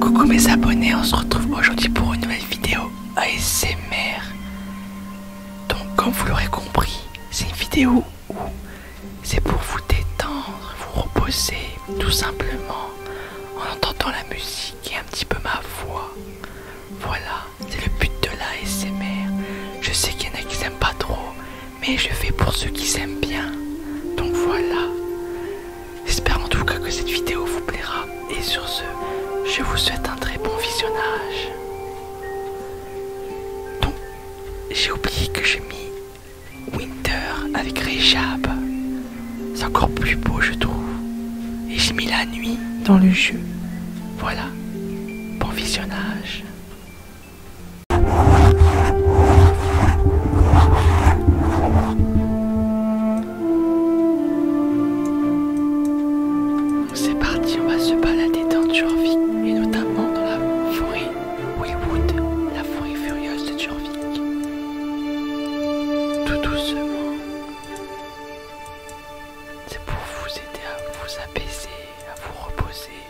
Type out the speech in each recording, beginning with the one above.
Coucou mes abonnés, on se retrouve aujourd'hui pour une nouvelle vidéo ASMR. Donc comme vous l'aurez compris, c'est une vidéo où c'est pour vous détendre, vous reposer tout simplement en entendant la musique et un petit peu ma voix. Voilà, c'est le but de l'ASMR. Je sais qu'il y en a qui n'aiment pas trop, mais je fais pour ceux qui s'aiment bien. Donc voilà. J'espère en tout cas que cette vidéo vous plaira. Et sur ce, je vous souhaite un très bon visionnage. Donc, j'ai oublié que j'ai mis Winter avec Rejab. C'est encore plus beau, je trouve. Et j'ai mis la nuit dans le jeu. Voilà. Bon visionnage. C'est parti, on va se balader dans Turvie et notamment dans la forêt Wood. la forêt furieuse de Turvie. Tout doucement, c'est pour vous aider à vous apaiser, à vous reposer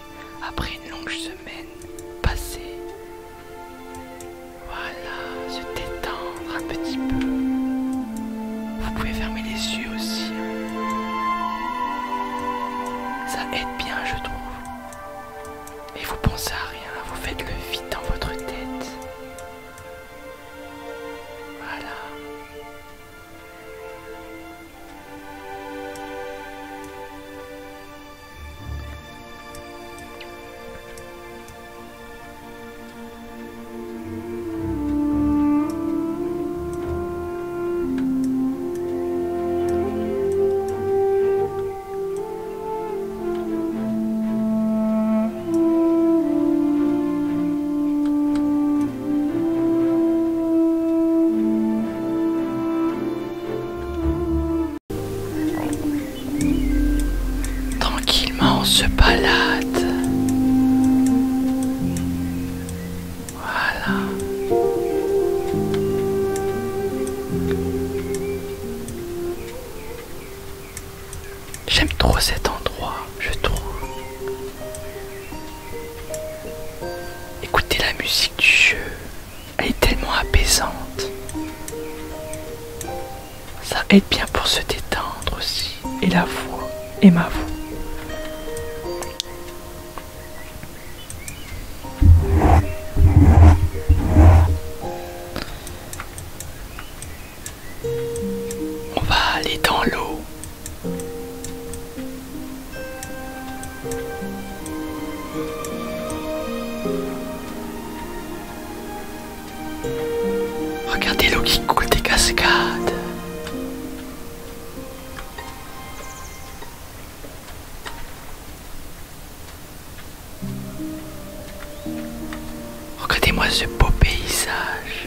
après une longue semaine passée. Voilà, se détendre un petit peu. Vous pouvez fermer les yeux aussi. Ça aide bien, je trouve. Et vous pensez à rien, hein. vous faites le vide dans votre tête. Voilà. Tranquillement on se balade. Voilà. J'aime trop cet endroit, je trouve. Écoutez la musique du jeu, elle est tellement apaisante. Ça aide bien pour se détendre aussi, et la voix, et ma voix. On va aller dans l'eau. Regardez l'eau qui coule des cascades. Regardez-moi ce beau paysage.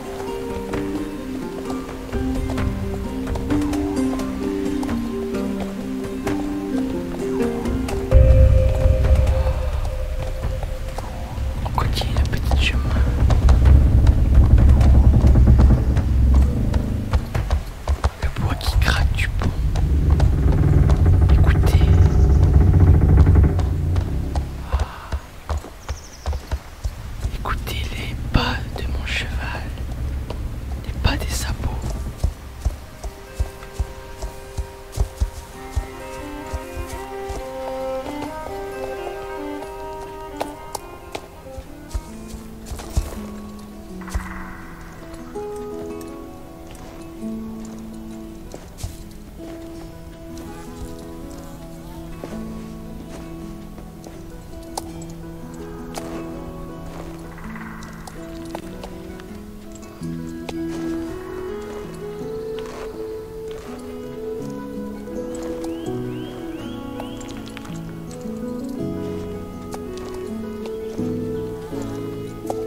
continue la petite chemin, le bois qui craque du pont. Écoutez. Écoutez les pas de mon cheval, les pas des sabots.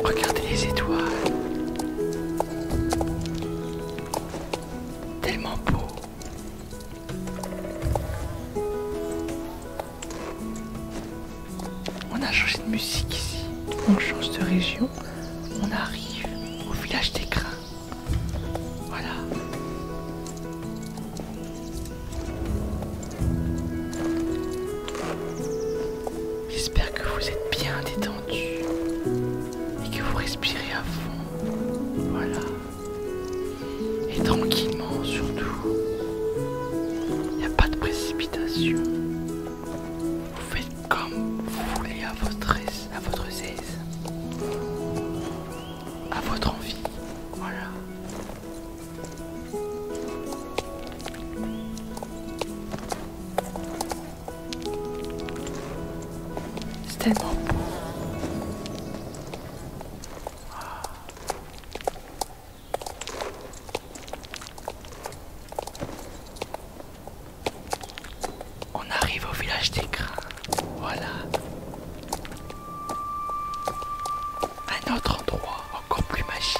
Regardez les étoiles. Tellement beau. On a changé de musique ici. On change de région. On arrive au village des grains. Voilà. J'espère que vous êtes bien détendus et que vous respirez à fond. Voilà. Et tranquillement surtout. Il n'y a pas de précipitation. Vous faites comme vous voulez à votre, aise, à votre aise. À votre envie. Voilà. On arrive au village des grains. Voilà. Un autre endroit encore plus magique.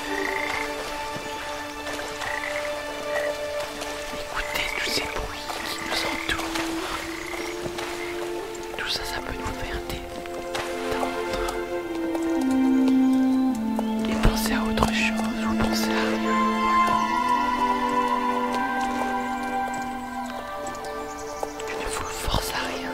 Écoutez tous ces bruits qui nous entourent. Tout ça, ça peut nous faire détendre. Et penser à autre chose ou pensez à rien. Voilà. ne vous forcez à rien.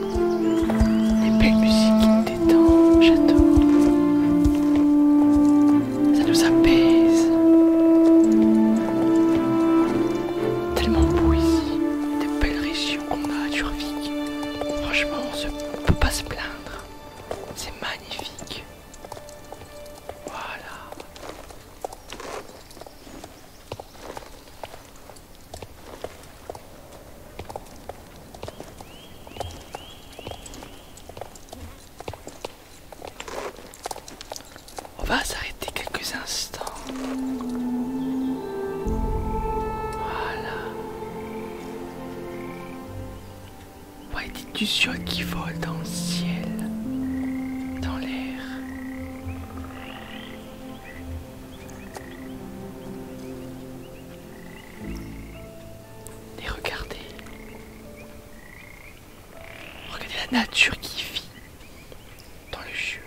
Les belles musiques qui détendent, j'adore. Ça nous apaise. Tellement beau ici, des belles régions qu'on a à Turvic. Franchement, on ne peut pas se plaindre. C'est magnifique. Voilà. On va s'arrêter quelques instants. Voilà. Voyez du ciel qui volent dans le ciel, dans l'air. Et regardez. Regardez la nature qui vit dans le jeu.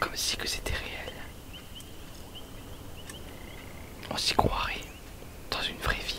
Comme si que c'était réel. On s'y croirait dans une vraie ville.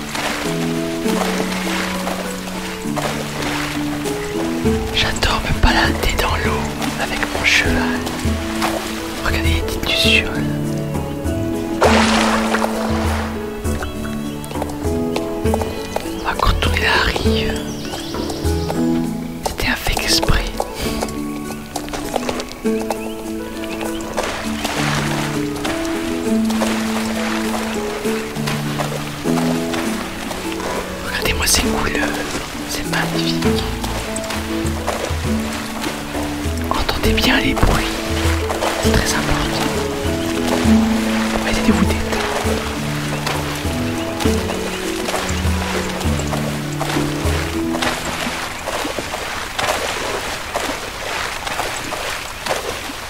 J'adore me balader dans l'eau avec mon cheval. Regardez les petites quand on est arrive, c'était un fake esprit. Regardez-moi ces couleurs, c'est magnifique. Entendez bien les bruits, c'est très important. vous détendre.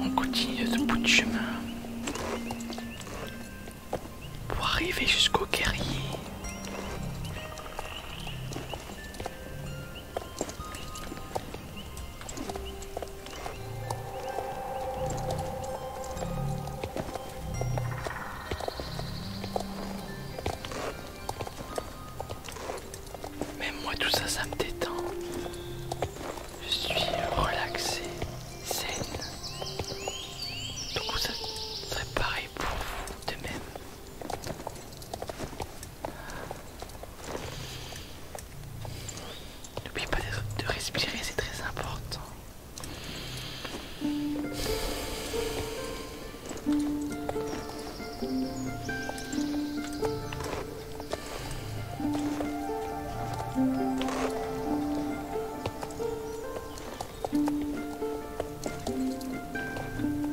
On continue ce bout de chemin pour arriver jusqu'au guerrier. Même moi tout ça ça me détend. Je suis relaxé, saine. Donc ça serait pareil pour vous de même. N'oublie pas de respirer, c'est très important.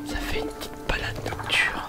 Ça fait une petite balade nocturne.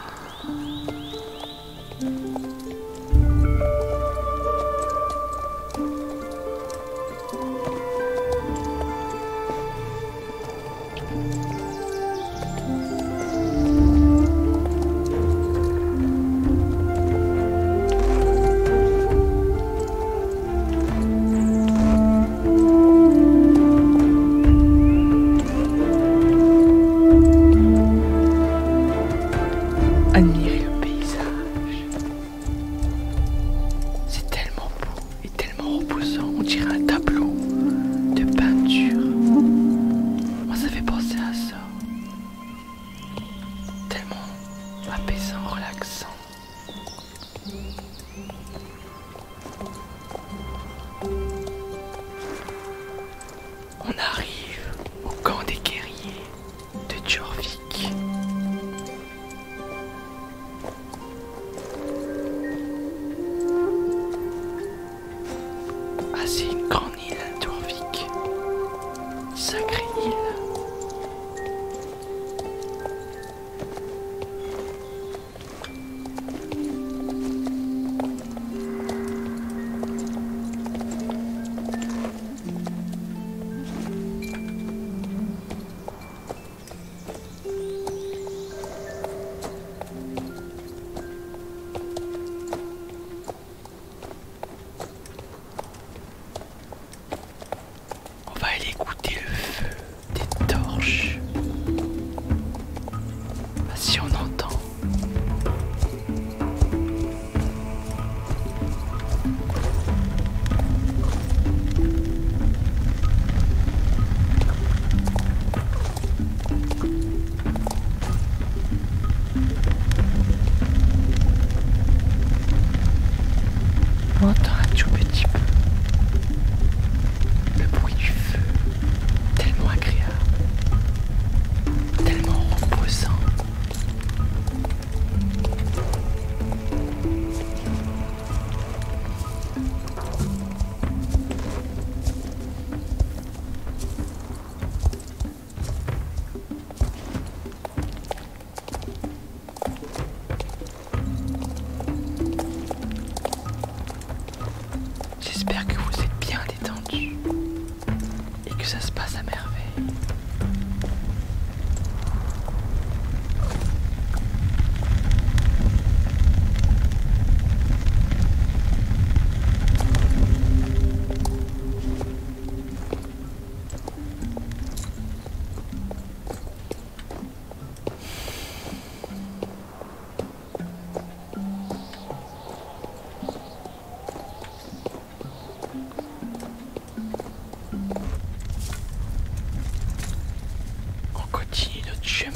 Admirer le paysage. C'est tellement beau et tellement reposant, on dirait un tableau de peinture. Moi, ça fait penser à ça. Tellement apaisant, relaxant. On arrive au camp des guerriers de Djurvik. Ah, c'est une grande île, hein, Djurvik. Sacrée île. On va aller goûter le feu des torches. Bah, si on entend. On entend un tout petit peu le bruit du feu tellement agréable, tellement reposant. J'espère que vous êtes bien détendu et que ça se passe à merveille. On continue notre chemin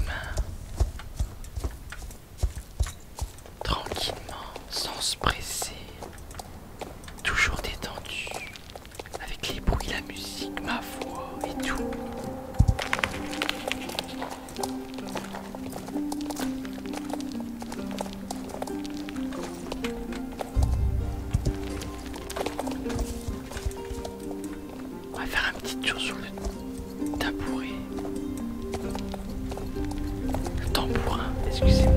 tranquillement, sans se presser, toujours détendu, avec les bruits, la musique, ma voix et tout. On va faire un petit tour sur le tabouret. Le tambourin, excusez-moi.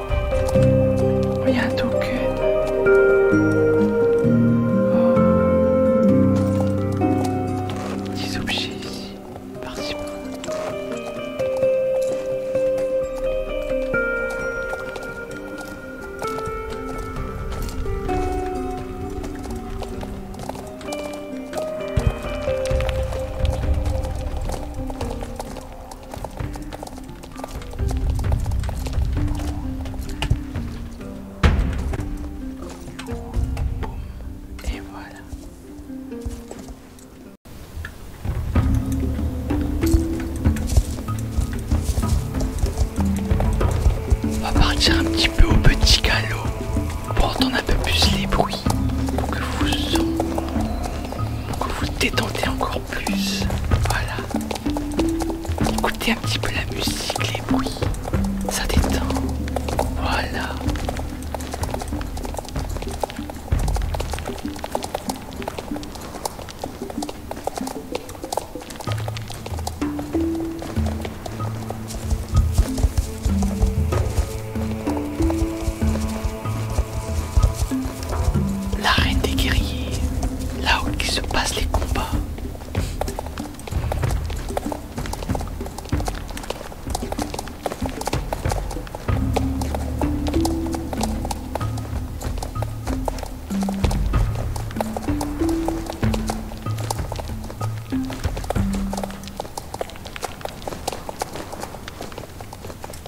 Oh, you're too good. Oh. Petits objets ici, par-ci. Et voilà. On va partir un petit peu au petit galop pour entendre un peu plus les bruits pour que vous vous détendez encore plus. Voilà. Écoutez un petit peu la musique, les bruits. Ça détend. Voilà. La reine des guerriers, là où se passent les combats.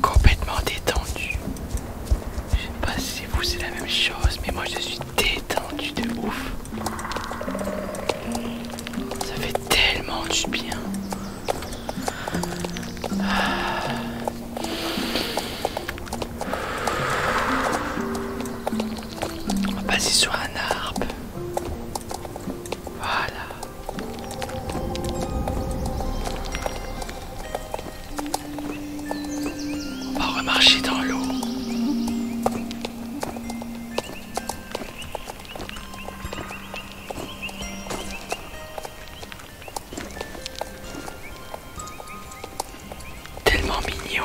complètement détendu. Je sais pas si vous c'est la même chose, mais moi je suis détendu de ouf. Ça fait tellement du bien. On va passer sur un arbre. Voilà. On va remarcher dans l'eau. Tellement mignon.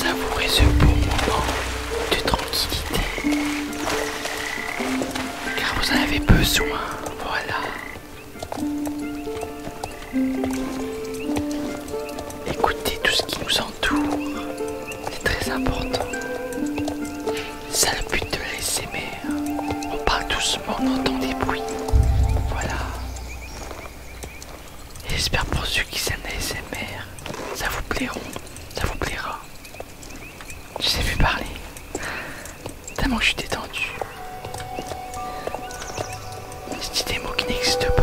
Savourez ce bon moment de tranquillité. Car vous en avez besoin, voilà. Écoutez tout ce qui nous entoure. C'est très important. C'est le but de l'ASMR. Euh, on parle doucement, on entend des bruits. Voilà. J'espère pour ceux qui s'aiment l'ASMR, ça vous plairont, ça vous plaira. Je sais plus parler. Tellement que je suis détendu. c'est des mots qui n'existent pas.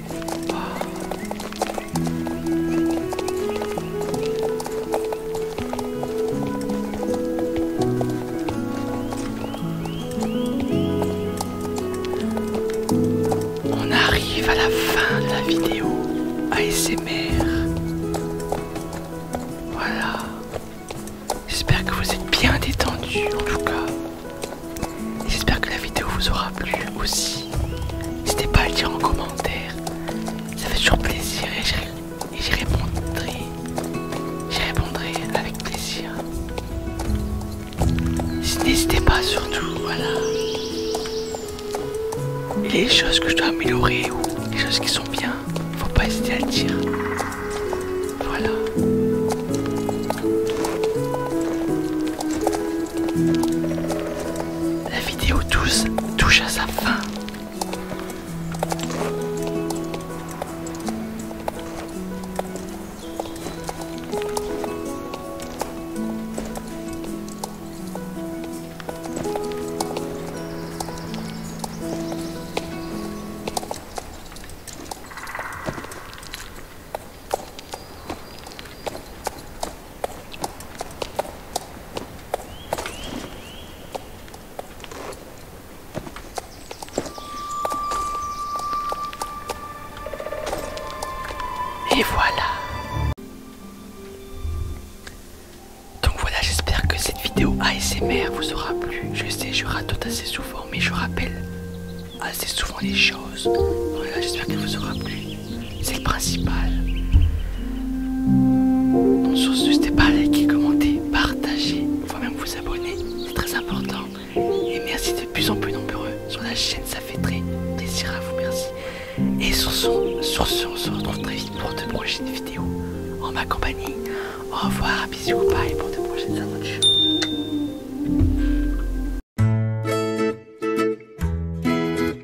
On arrive à la fin de la vidéo ASMR. Voilà. J'espère que vous êtes bien détendu en tout cas. J'espère que la vidéo vous aura plu aussi. N'hésitez pas à le dire en commentaire. Ça fait toujours plaisir et j'y répondrai. J'y répondrai avec plaisir. N'hésitez pas surtout, voilà. les choses que je dois améliorer ou les choses qui sont bien, faut pas hésiter à le dire. Voilà. La vidéo 12 touche à sa fin. Et voilà. Donc voilà, j'espère que cette vidéo ASMR vous aura plu. Je sais, je rate assez souvent, mais je rappelle assez souvent les choses. Voilà, j'espère qu'elle vous aura plu. C'est le principal. Donc ce n'hésitez pas à liker, commenter, partager, voire même vous abonner. C'est très important. Et merci de plus en plus nombreux sur la chaîne. Ça fait très plaisir à vous. Merci. Et sur ce, sur on se retrouve très vite pour de prochaines vidéos en ma compagnie. Au revoir, bisous, bye pour de prochaines aventures.